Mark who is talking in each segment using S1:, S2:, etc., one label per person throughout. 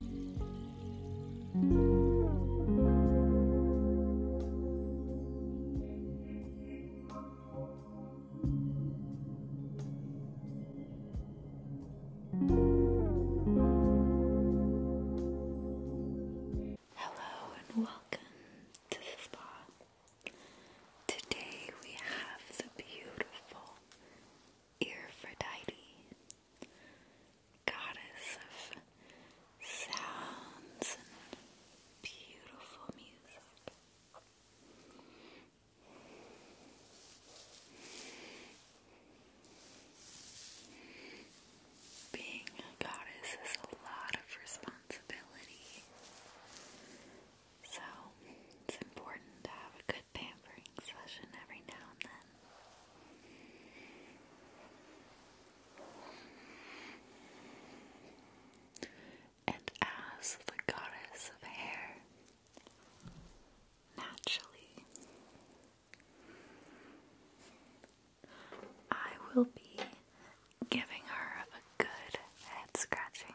S1: Hello and welcome to the spa. Today we have the beautiful Aphrodite goddess of sounds and beautiful music. Being a goddess is a lot of responsibility. So, it's important to have a pampering session every now and then. And as the goddess of hair, naturally, I will be giving her a good head scratching.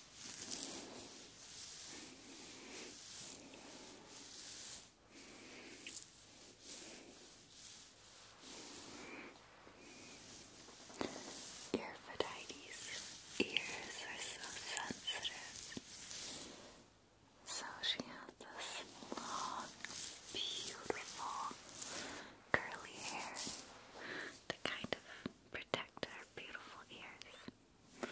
S1: Earphodites ears are so sensitive. So she has this long, beautiful, curly hair to kind of protect her beautiful ears. But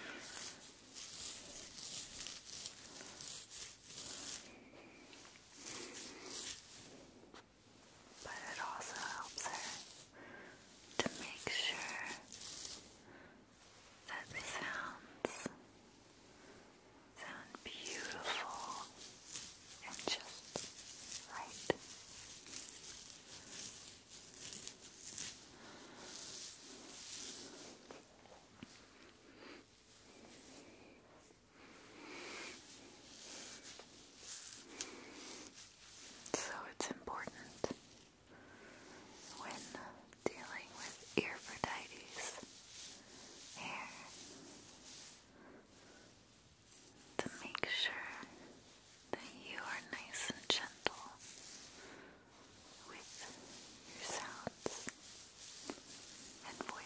S1: it also helps her to make sure that sounds sound beautiful and just right. So it's important when dealing with Epaphrodites hair to make sure that you are nice and gentle with your sounds and voice.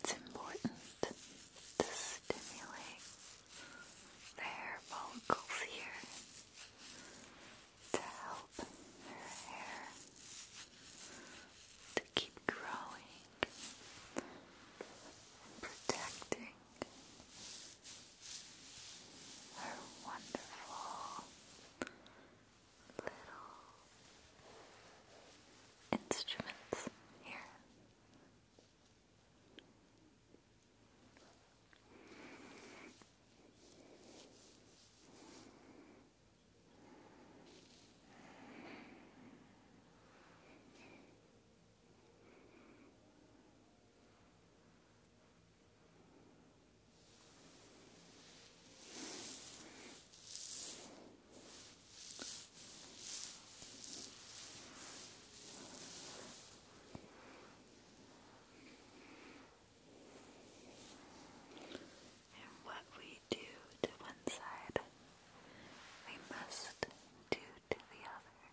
S1: It's important to stimulate the hair follicles here to help her hair to keep growing and protecting her wonderful little instruments here. And what we do to one side, we must do to the other.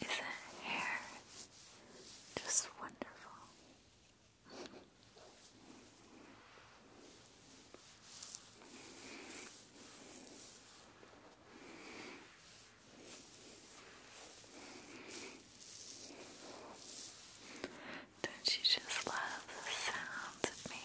S1: Isn't hair just wonderful? Don't you just love the sound it makes?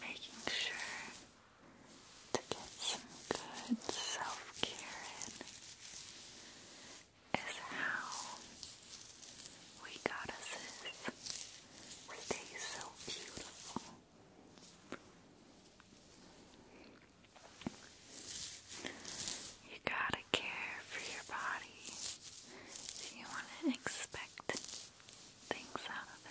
S1: Making sure to get some good self care is how we goddesses stay so beautiful. You gotta care for your body if you want to expect things out of it.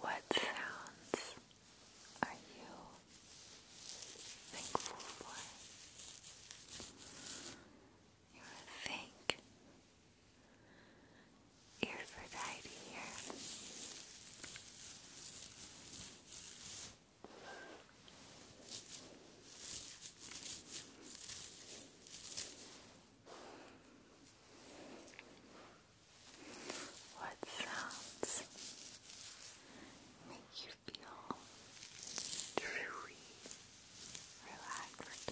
S1: What sounds are you thankful for? You're a fake here. What sounds make you feel truly relaxed?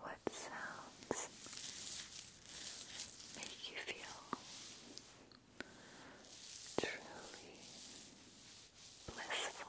S1: What sounds make you feel truly blissful?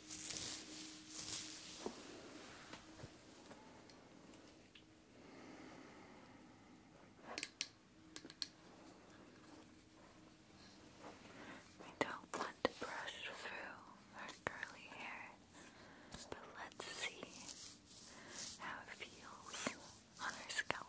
S1: We don't want to brush through her curly hair, but let's see how it feels on her scalp.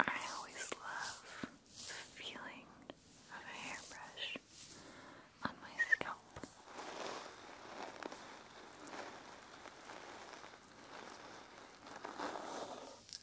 S1: I always love the feeling of a hairbrush on my scalp.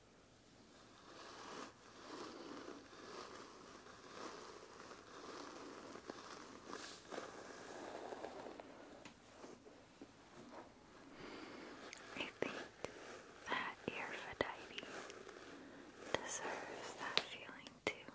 S1: I think that Aphrodite deserves that feeling too.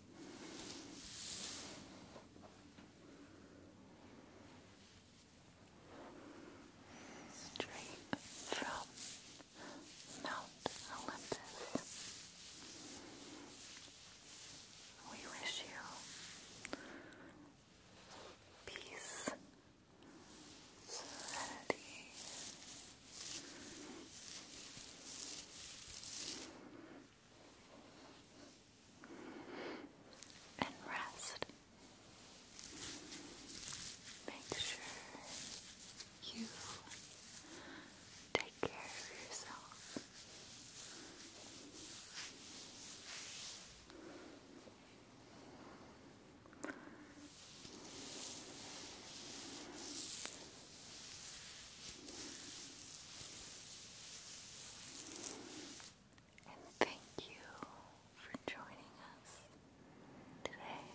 S1: Straight from Mount Olympus. We wish you peace, serenity, and rest. Make sure you take care of yourself. And thank you for joining us today.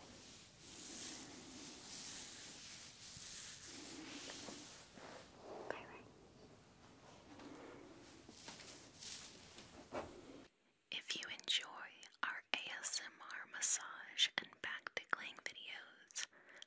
S1: Bye bye. If you enjoy our ASMR massage and back tickling videos,